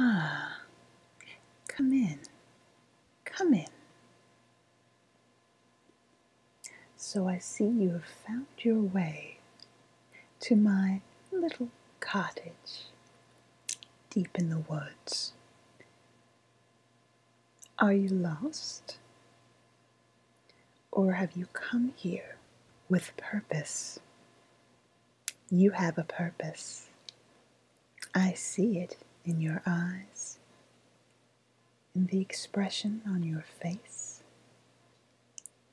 Ah, come in, come in. So I see you have found your way to my little cottage deep in the woods. Are you lost? Or have you come here with purpose? You have a purpose. I see it in your eyes, in the expression on your face.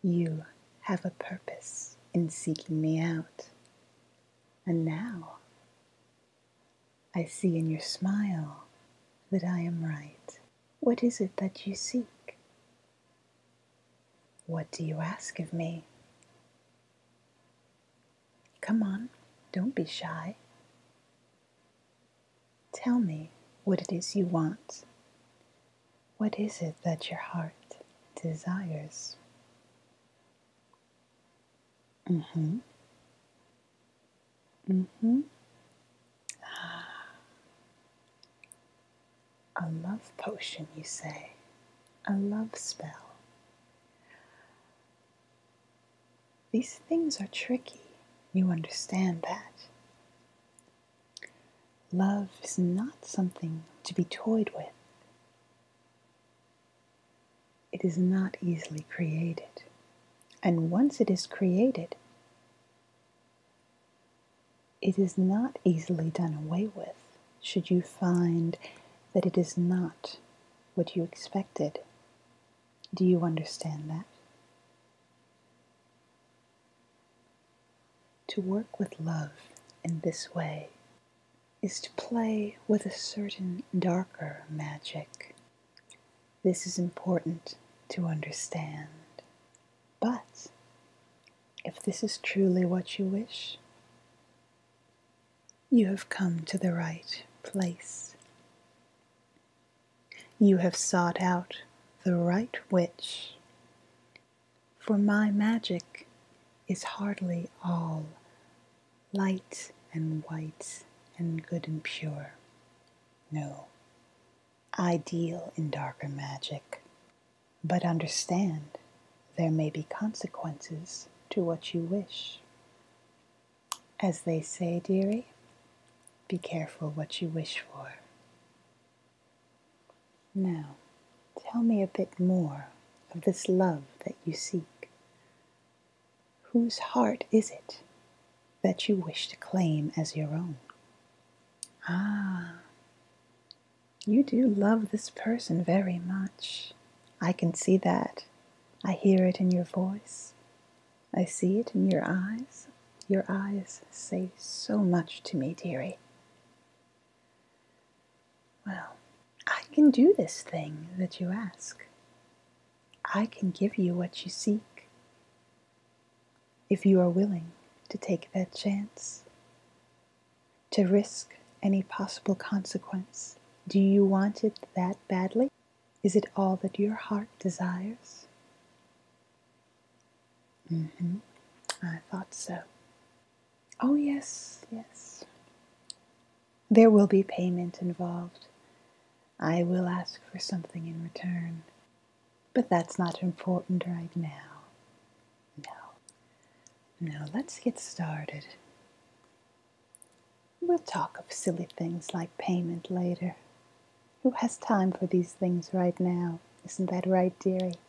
You have a purpose in seeking me out. And now I see in your smile that I am right. What is it that you seek? What do you ask of me? Come on, don't be shy. Tell me what it is you want. What is it that your heart desires? Mm-hmm. Mm-hmm. Ah. A love potion, you say? A love spell. These things are tricky. You understand that. Love is not something to be toyed with. It is not easily created. And once it is created, it is not easily done away with should you find that it is not what you expected. Do you understand that? To work with love in this way is to play with a certain darker magic. This is important to understand. But if this is truly what you wish, you have come to the right place. You have sought out the right witch, for my magic is hardly all light and white and good and pure. No, I deal in darker magic, but understand there may be consequences to what you wish. As they say, dearie, be careful what you wish for. Now, tell me a bit more of this love that you seek. Whose heart is it that you wish to claim as your own? Ah, you do love this person very much. I can see that. I hear it in your voice. I see it in your eyes. Your eyes say so much to me, dearie. Well, I can do this thing that you ask. I can give you what you seek if you are willing to take that chance, to risk any possible consequence. Do you want it that badly? Is it all that your heart desires? Mm hmm. I thought so. Oh, yes, yes. There will be payment involved. I will ask for something in return. But that's not important right now. No. Now let's get started. We'll talk of silly things like payment later. Who has time for these things right now? Isn't that right, dearie?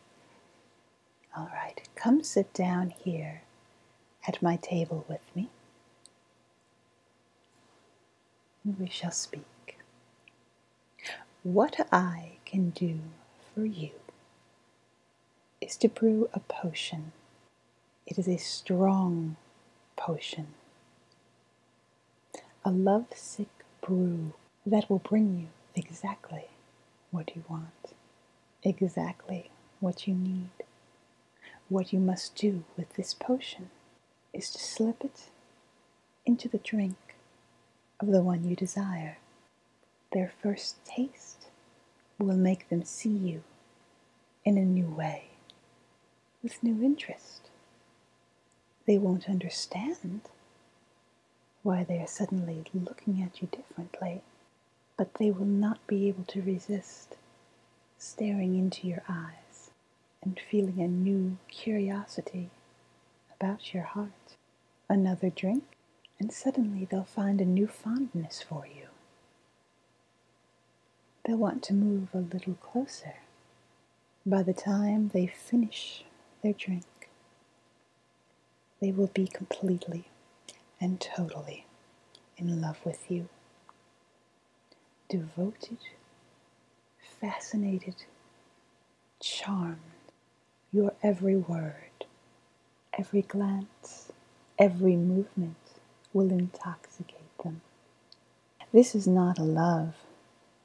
All right, come sit down here at my table with me. we shall speak. What I can do for you is to brew a potion. It is a strong potion, a lovesick brew that will bring you exactly what you want, exactly what you need. What you must do with this potion is to slip it into the drink of the one you desire. Their first taste will make them see you in a new way, with new interest. They won't understand why they are suddenly looking at you differently, but they will not be able to resist staring into your eyes and feeling a new curiosity about your heart another drink, and suddenly they'll find a new fondness for you. They'll want to move a little closer by the time they finish their drink. They will be completely and totally in love with you, devoted, fascinated, charmed your every word, every glance, every movement will intoxicate them. This is not a love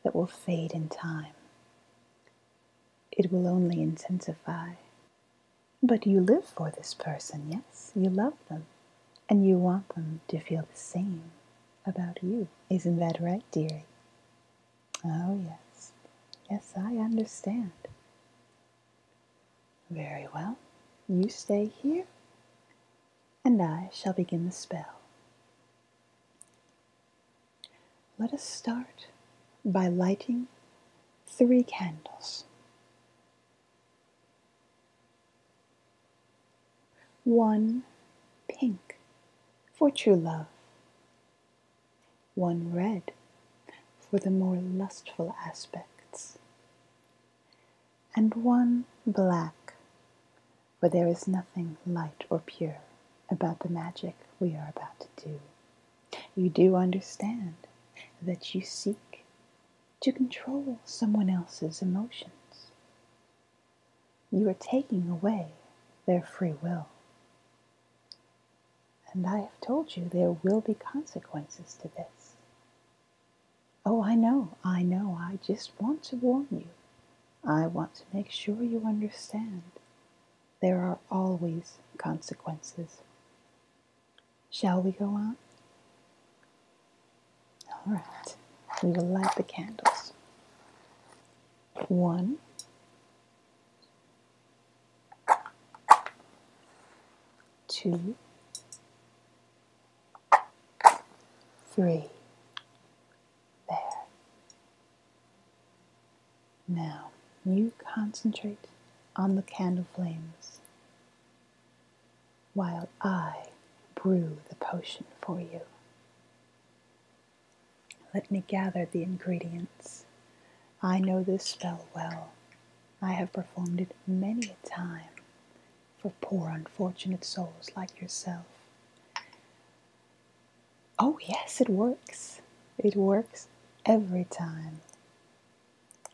that will fade in time. It will only intensify. But you live for this person, yes? You love them. And you want them to feel the same about you. Isn't that right, dearie? Oh, yes. Yes, I understand. Very well. You stay here, and I shall begin the spell. Let us start by lighting three candles. One pink for true love, one red for the more lustful aspects, and one black, for there is nothing light or pure about the magic we are about to do. You do understand that you seek to control someone else's emotions. You are taking away their free will. And I have told you there will be consequences to this. Oh, I know, I know, I just want to warn you. I want to make sure you understand there are always consequences. Shall we go on? All right, we will light the candles. One, two, three. There. Now you concentrate on the candle flames while I brew the potion for you. Let me gather the ingredients. I know this spell well. I have performed it many a time for poor unfortunate souls like yourself. Oh, yes, it works. It works every time.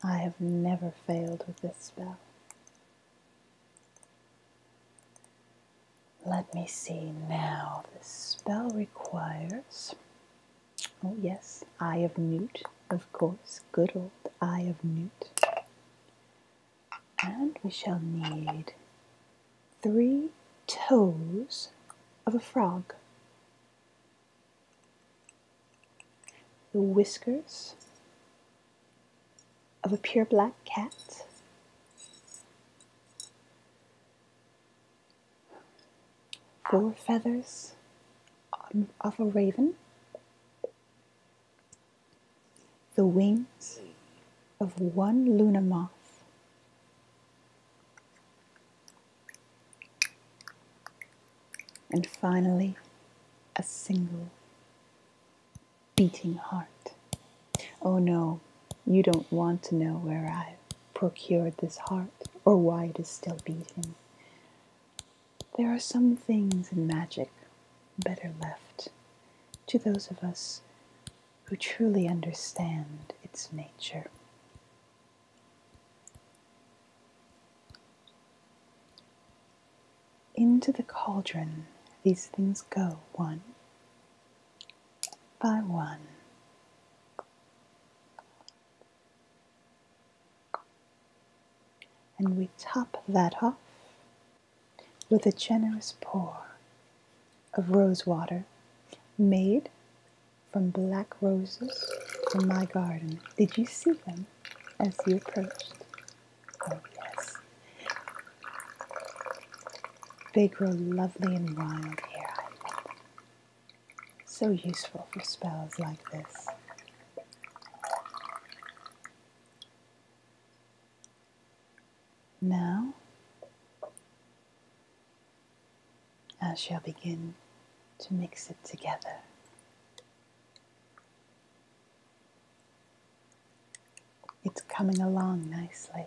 I have never failed with this spell. Let me see now. The spell requires. Oh, yes, Eye of Newt, of course. Good old Eye of Newt. And we shall need three toes of a frog, the whiskers of a pure black cat, four feathers um, of a raven, the wings of one lunar moth, and finally a single beating heart. Oh no, you don't want to know where I've procured this heart, or why it is still beating. There are some things in magic better left to those of us who truly understand its nature. Into the cauldron these things go, one, by one. And we top that off with a generous pour of rosewater made from black roses in my garden. Did you see them as you approached? Oh, yes. They grow lovely and wild here, I think. So useful for spells like this. Now, I shall begin to mix it together. It's coming along nicely.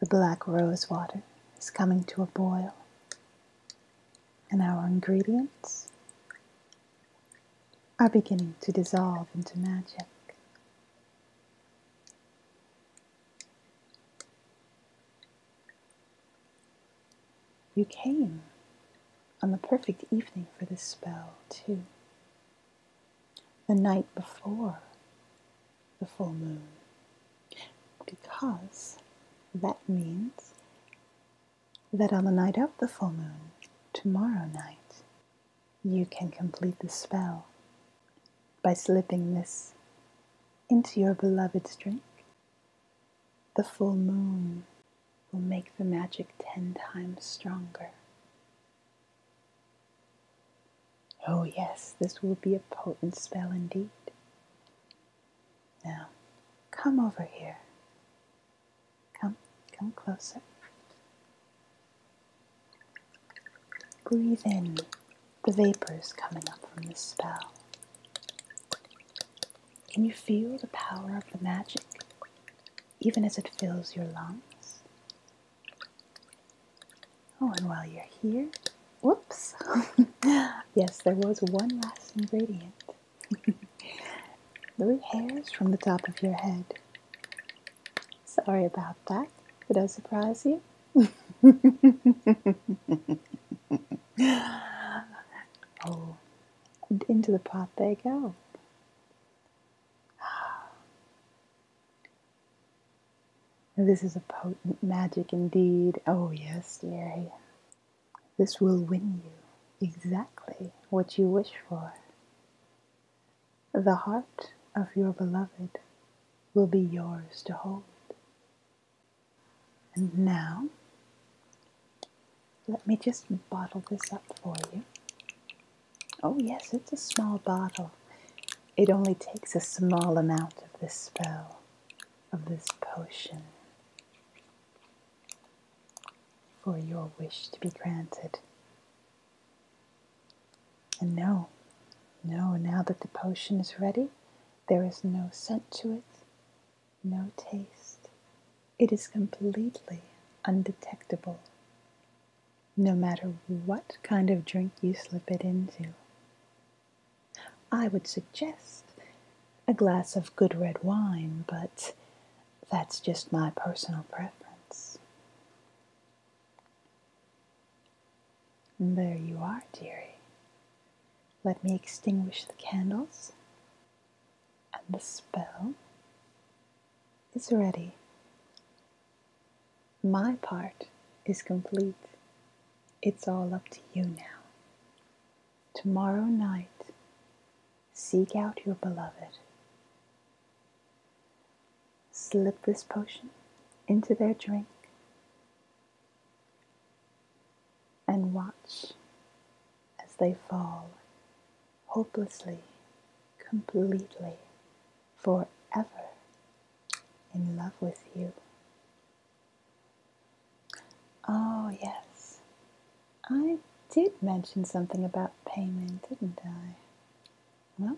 The black rose water is coming to a boil, and our ingredients are beginning to dissolve into magic. You came on the perfect evening for this spell, too the night before the full moon because that means that on the night of the full moon, tomorrow night, you can complete the spell by slipping this into your beloved's drink. The full moon will make the magic ten times stronger Oh, yes, this will be a potent spell indeed. Now, come over here. Come, come closer. Breathe in the vapors coming up from the spell. Can you feel the power of the magic, even as it fills your lungs? Oh, and while you're here, whoops, yes, there was one last ingredient. Three hairs from the top of your head. Sorry about that. Did I surprise you? oh, and into the pot they go. This is a potent magic indeed. Oh, yes, dearie. This will win you exactly what you wish for. The heart of your beloved will be yours to hold. And now, let me just bottle this up for you. Oh, yes, it's a small bottle. It only takes a small amount of this spell, of this potion, for your wish to be granted. And no, no, now that the potion is ready, there is no scent to it, no taste. It is completely undetectable no matter what kind of drink you slip it into. I would suggest a glass of good red wine, but that's just my personal preference. there you are, dearie. Let me extinguish the candles and the spell is ready. My part is complete. It's all up to you now. Tomorrow night, seek out your beloved. Slip this potion into their drink and watch as they fall hopelessly, completely forever in love with you. Oh, yes. I did mention something about payment, didn't I? Well,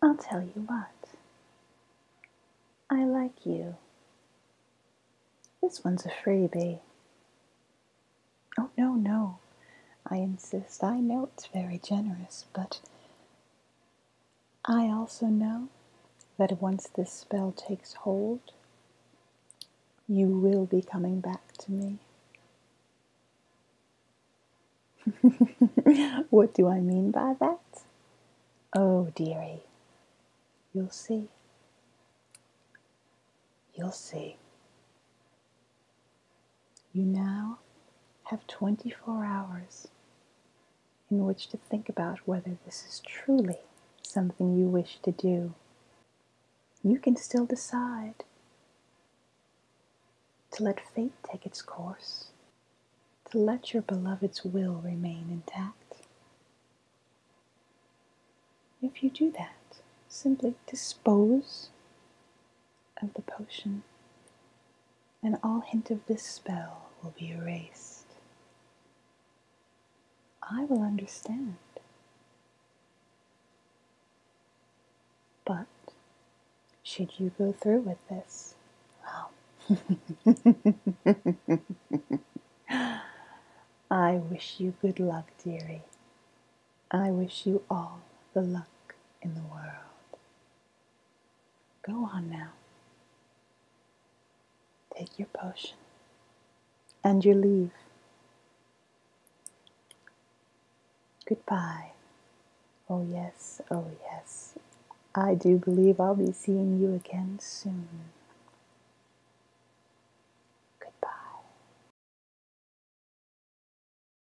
I'll tell you what. I like you. This one's a freebie. Oh, no, no. I insist. I know it's very generous, but I also know that once this spell takes hold, you will be coming back to me. what do I mean by that? Oh, dearie, you'll see. You'll see. You now have 24 hours in which to think about whether this is truly something you wish to do. You can still decide to let fate take its course, to let your beloved's will remain intact. If you do that, simply dispose of the potion, and all hint of this spell will be erased. I will understand. But should you go through with this, well, I wish you good luck, dearie. I wish you all the luck in the world. Go on now. Take your potion and your leave. Goodbye. Oh, yes, oh, yes. I do believe I'll be seeing you again soon. Goodbye.